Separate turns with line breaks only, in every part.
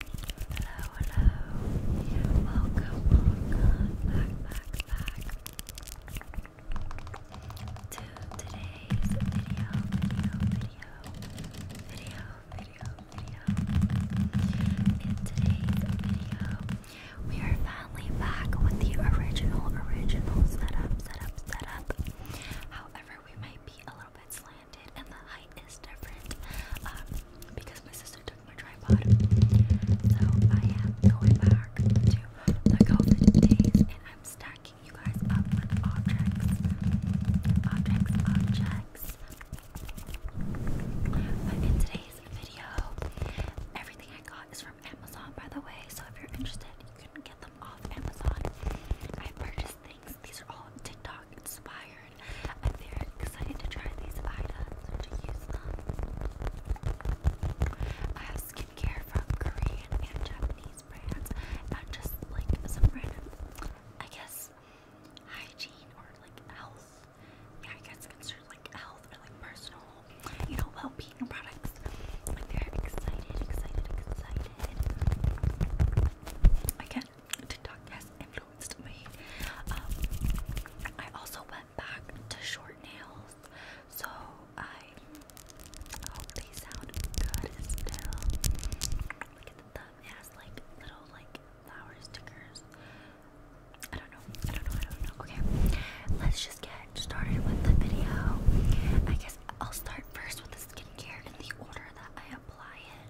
Hello, hello. Welcome, back, back, back to today's video, video, video, video, video, video. In today's video, we are finally back with the original, original setup, setup, setup. However, we might be a little bit and the height is different um, because my sister took my tripod. So I am going back to the COVID days and I'm stacking you guys up with objects. Objects, objects. But in today's video, everything I got is from Amazon by the way. So if you're interested, you can get them off Amazon. I purchased things. These are all TikTok TikTok inspired, I'm are excited to try these items or to use them. I have skincare from Korean and Japanese brands, not just like some random, I guess, hygiene or like health. Yeah, I guess considered like health or like personal, you know, well-being products. Like they're excited, excited, excited. Again, TikTok has influenced me. Um, I also went back to short nails, so I hope they sound good still. Look at the thumb; it has like little like flower stickers. I don't know. I don't know. I don't know. Okay, let's just get started with the video. I guess I'll start first with the skincare in the order that I apply it.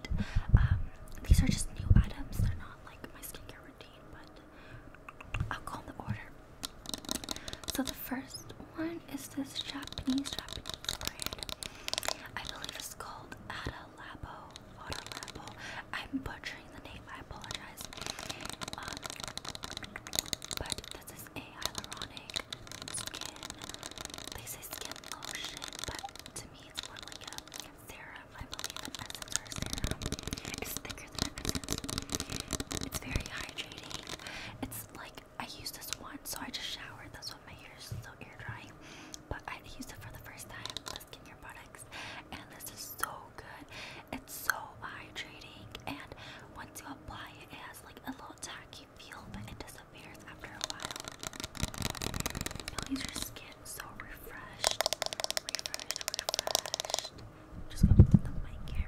Um, these are just new items. They're not like my skincare routine, but I'll call the order. So the first one is this Japanese Japanese brand. I believe it's called Ada Labo. I'm butchering the name. I apologize. Um, but this is a hyaluronic skin. They say skin lotion, but to me these were like a serum, essence serum. It's thicker than an essence. It's very hydrating. It's like I used this one, so I just showered. That's what my hair is so air dry. But I used it for the first time. The products, and this is so good. It's so hydrating, and once you apply it, it has like a little tacky feel, but it disappears after a while. It your skin so refreshed, Just gonna put the mic here.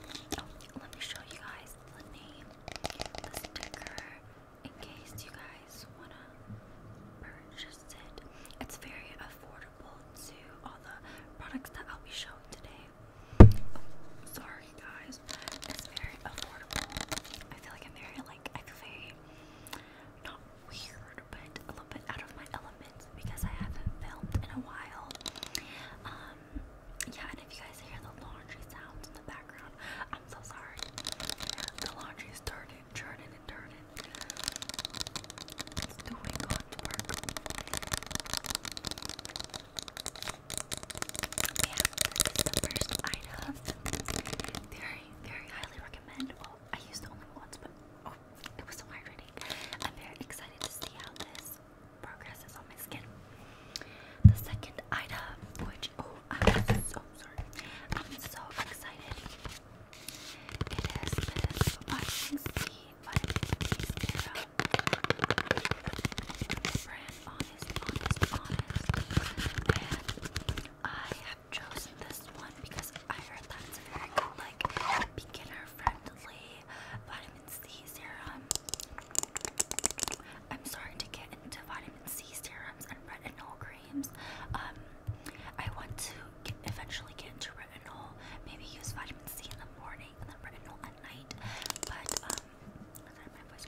let me show you guys the name, the sticker, in case you guys wanna purchase it. It's very uh, affordable to all the products that I'll be showing today. Oh, sorry guys, it's very affordable. I feel like I'm very like I not weird, but a little bit out of my element because I haven't filmed in a while. Um, yeah, and if you guys hear the laundry sounds in the background, I'm so sorry. The laundry is turning, churning, and turning. It's doing good work. the first I Very, very highly recommend. Oh, I used it only once, but oh, it was so hydrating. I'm very excited to see how this progresses on my skin. The second Ida, which oh, I'm so excited. It is this Vitamin C I have chosen this one because I heard that it's like beginner friendly vitamin C serum. I'm starting to get into vitamin C serums and retinol creams. Um, I want to get, eventually get into retinol. Maybe use vitamin C in the morning and then retinol at night. But um, my voice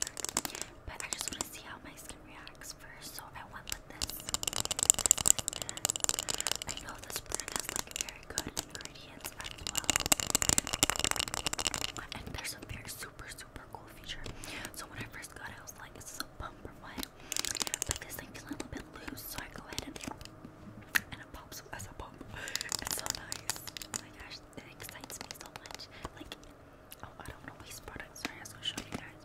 But I just want to see how my skin reacts first, so I went with this. I know this brand has like very good ingredients as well, and there's a very super super cool feature. So when I first got it, I was like, "Is this a pump or what?" But this thing feels a little bit loose, so I go ahead and and it pops as a pop. It's so nice. Oh my gosh, it excites me so much. Like, oh, I don't want to waste products. Sorry, I was gonna show you guys,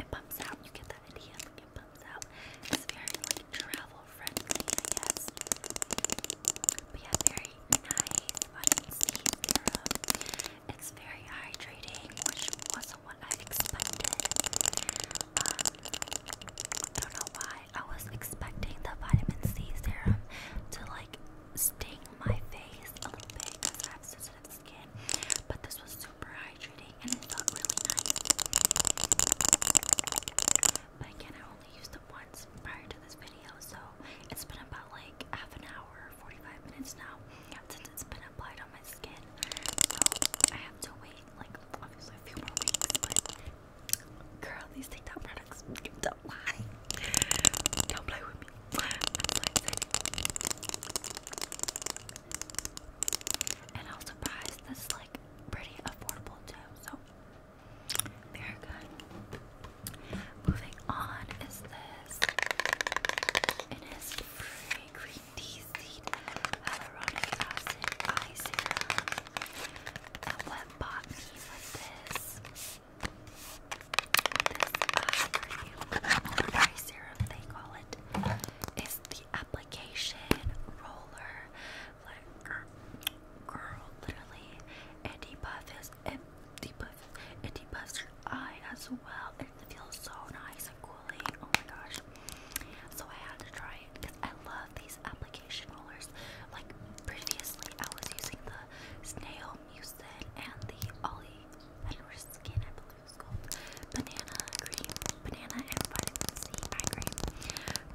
it pumps out. You get that idea? it pumps out. It's very like travel friendly, I guess. But yeah, very nice. Vitamin C serum. It's very hydrating, which wasn't what I expected don't know why. I was expecting the vitamin C serum to like sting my face a little bit because I sensitive skin, but this was super hydrating and it felt really nice. But again, I only used it once prior to this video, so it's been about like half an hour, 45 minutes now that's been applied on my skin. So I have to wait, like, obviously a few more weeks, girl, these TikTok products don't lie. Don't play with me. am And I was surprised this is like pretty affordable too, so very good. Moving on is this. It is free green hyaluronic acid, eye serum. And what bought me this, eye serum they call it, is the application roller. Like, girl, literally, and debuff is, it debuffs, it debuffs eye as well. It feels so nice and cooling. Oh my gosh. So I had to try it because I love these application rollers. Like previously I was using the snail mucin and the Ollie Henry skin, I believe it's called. Banana cream. Banana and vitamin C cream.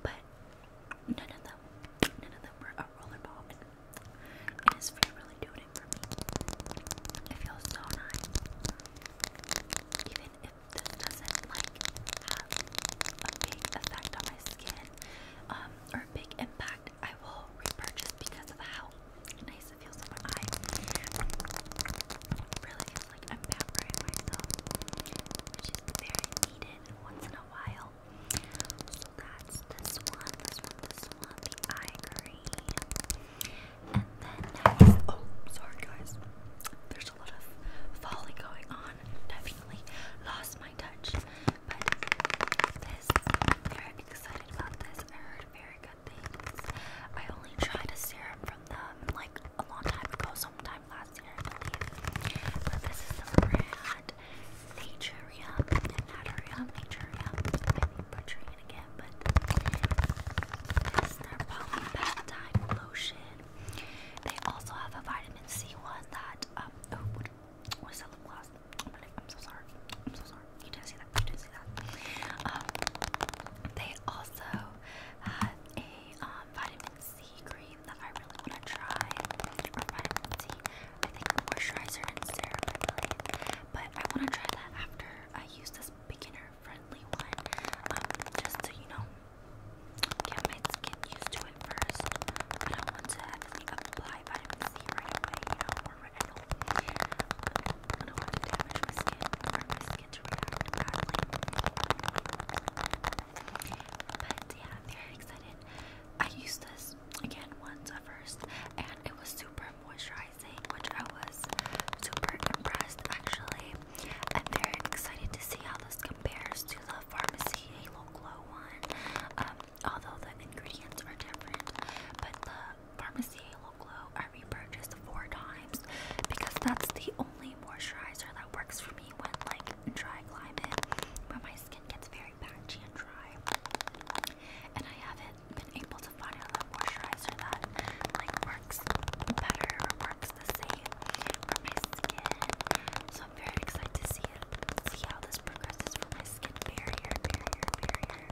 But none of them none of them were a rollerball and it is really doing it for me. It feels so nice. Even if this doesn't like have a big effect on my skin um, or a big impact, I will repurchase because of how nice it feels on my eye. really feels like pampering myself, which is very needed once in a while. So that's this one, this one, this one, the eye oh, sorry guys. There's a lot of falling going on. Definitely lost my touch. But this, I'm very excited about this. I heard very good things. I only tried a serum from them like a long time ago, sometime last year, But this is the brand Naturium. Naturium, Naturium. I it again but their Palm Lotion. They also have a vitamin C one that, um, oh, what's that lip gloss? I'm, so sorry. I'm so sorry. You didn't see that. You didn't see that. Um, they also have a um, vitamin C cream that I really want to try. vitamin C, I think moisturizer and serum, But I want to try that after I use this beginner friendly one, um, just to, you know, get my skin used to it first. I don't want to apply vitamin C right away, you know, or retinol. to damage my skin or my skin to badly. But yeah, very excited. I used this again once at first, and it was super moisturizing which I was super impressed actually. I'm very excited to see how this compares to the pharmacy Halo Glow one. Um, although the ingredients are different, but the pharmacy Halo Glow I repurchased four times because that's the only moisturizer that works for me when like in dry climate where my skin gets very patchy and dry. And I have it been able to find another moisturizer that like works better works the same for my skin. So I'm very excited to see see how this progresses for my skin barrier, barrier, barrier.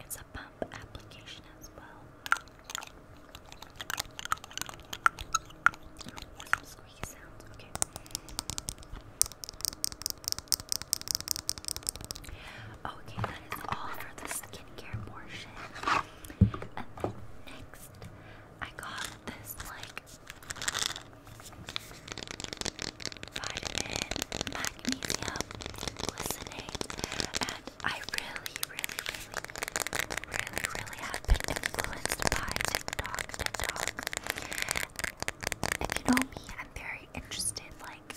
It's a pump application as well. some squeaky sounds. Okay. Okay, that is all for the skincare portion. next, I got this like vitamin, magnesium, glycinate, and I really, really, really, really, really have been influenced by TikTok, If you know me, I'm very interested, like,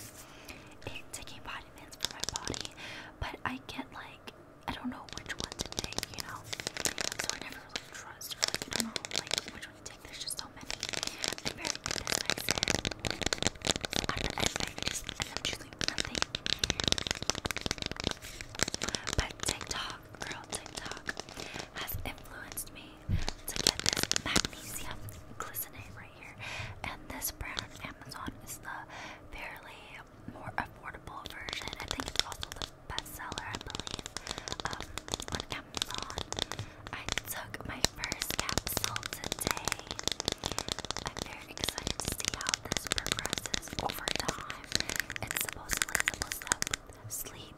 in taking vitamins for my body, but I get, like, I don't know which one to take, you know? So I never really trust, want to There's just so many. TikTok, girl, TikTok has influenced me magnesium glycinate right here. And this brand Amazon is the fairly more affordable version. I think also the bestseller, I believe, um, Amazon. I took my first capsule today. I'm very excited to see how this progresses over time. It's supposed to sleep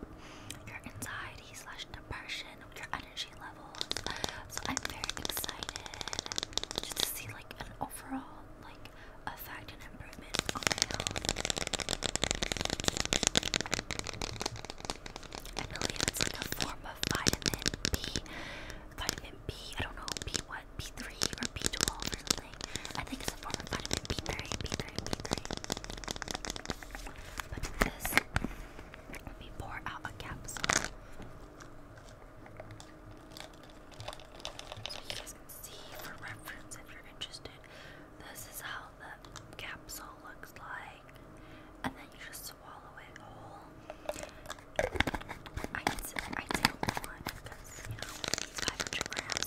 your anxiety slash depression, your energy levels. So I'm very excited just to see like an overall like effect and improvement I believe it's like a form of vitamin B, vitamin B, I don't know, B what, B3 or B12 or something. I think it's a form of vitamin B3, B3, B3. But this, let pour out a capsule. So you guys can see for reference if you're interested. This is how the capsule looks like. And then you just swallow it I I take one because you know it's 500 grams,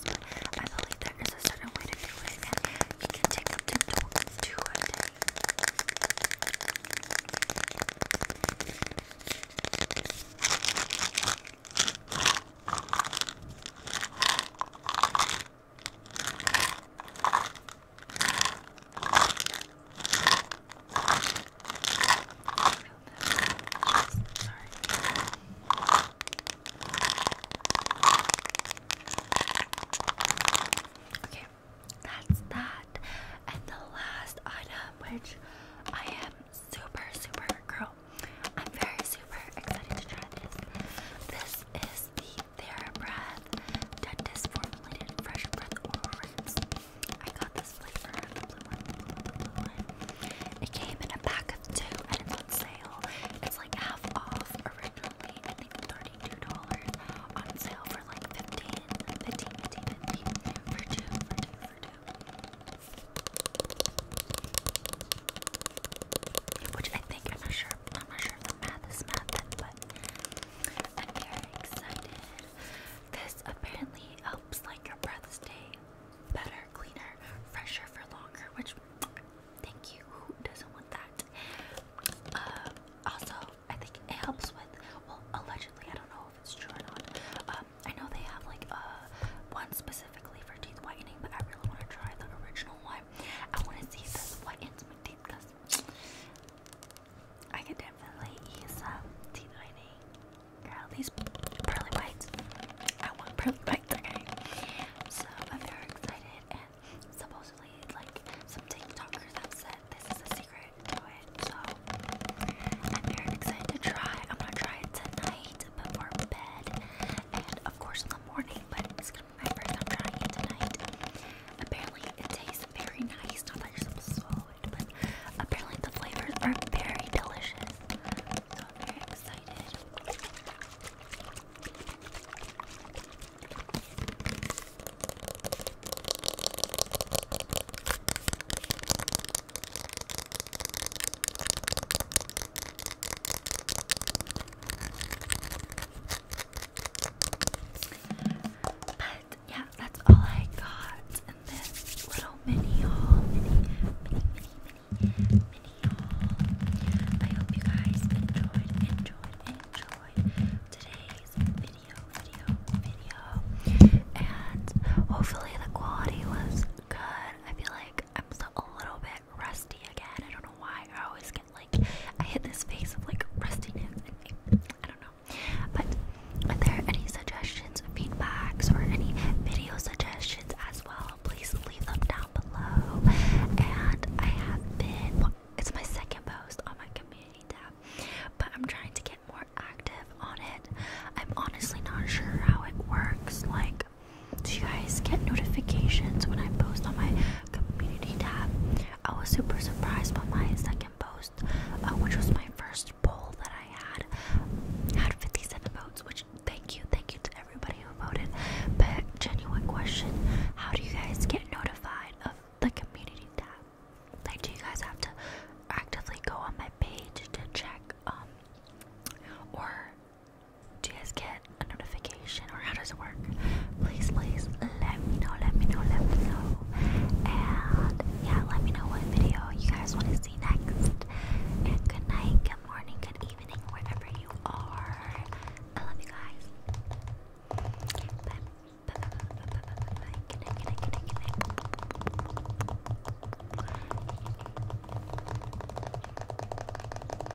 I believe there is a certain way to do it, you can take up to two, two a day. Okay, that's that. And the last item, which I am super, super girl. I'm very super excited to try this. This is the their breath. Dentist formulated fresh breath oral rinse. I got this flavor, the blue one, the blue, the blue one. It came in a pack of two and it's on sale. It's like half off originally, I think $32 on sale for like 15, 15, 15, 15 for two, for two, for two. Which I think I'm not sure. I'm not sure if math is math, but I'm very excited. This apparently helps like your breath stay better, cleaner, fresher for longer, which thank you. Who doesn't want that? Uh, also, I think it helps with, well, allegedly, I don't know if it's true or not. Um, I know they have like uh, one specifically for teeth whitening, but I really want to try the original one. I want to see if this whitens my teeth. I can definitely use um, T90. Girl, these pearly whites. I want pearly whites, okay? So I'm very excited, and supposedly, like, some TikTokers have said this is a secret to it, so I'm very excited to try. I'm gonna try it tonight before bed, and of course in the morning, but it's gonna my first time trying tonight. Apparently, it tastes very nice. Not that you're but apparently, the flavors are very delicious. So, I'm very excited. But yeah, that's all I got in this little mini haul. Mini, mini, mini, mini, mini haul. I hope you guys enjoyed, enjoyed, enjoyed today's video, video, video. And hopefully the quality was good. I feel like I'm still a little bit rusty again. I don't know why. I always get like I hit this phase of like rustiness. And, I don't know. But are there any suggestions, feedbacks, or any video suggestions as well? Please leave them down below. And I have been. it's my second post on my community tab, but I'm trying to get more active on it. I'm honestly not sure how it works. Like do you guys get notifications when I post on my community tab? I was super surprised by my second post, uh, which was my first poll that I had. I had 57 votes, which thank you, thank you to everybody who voted. But genuine question, how do you guys get notified of the community tab? Like, do you guys have to actively go on my page to check, um, or do you guys get a notification or how does it work? Please, please let me know, let me know, let me know. And yeah, let me know what video you guys want to see next. And good night, good morning, good evening, wherever you are. I love you guys. Bye.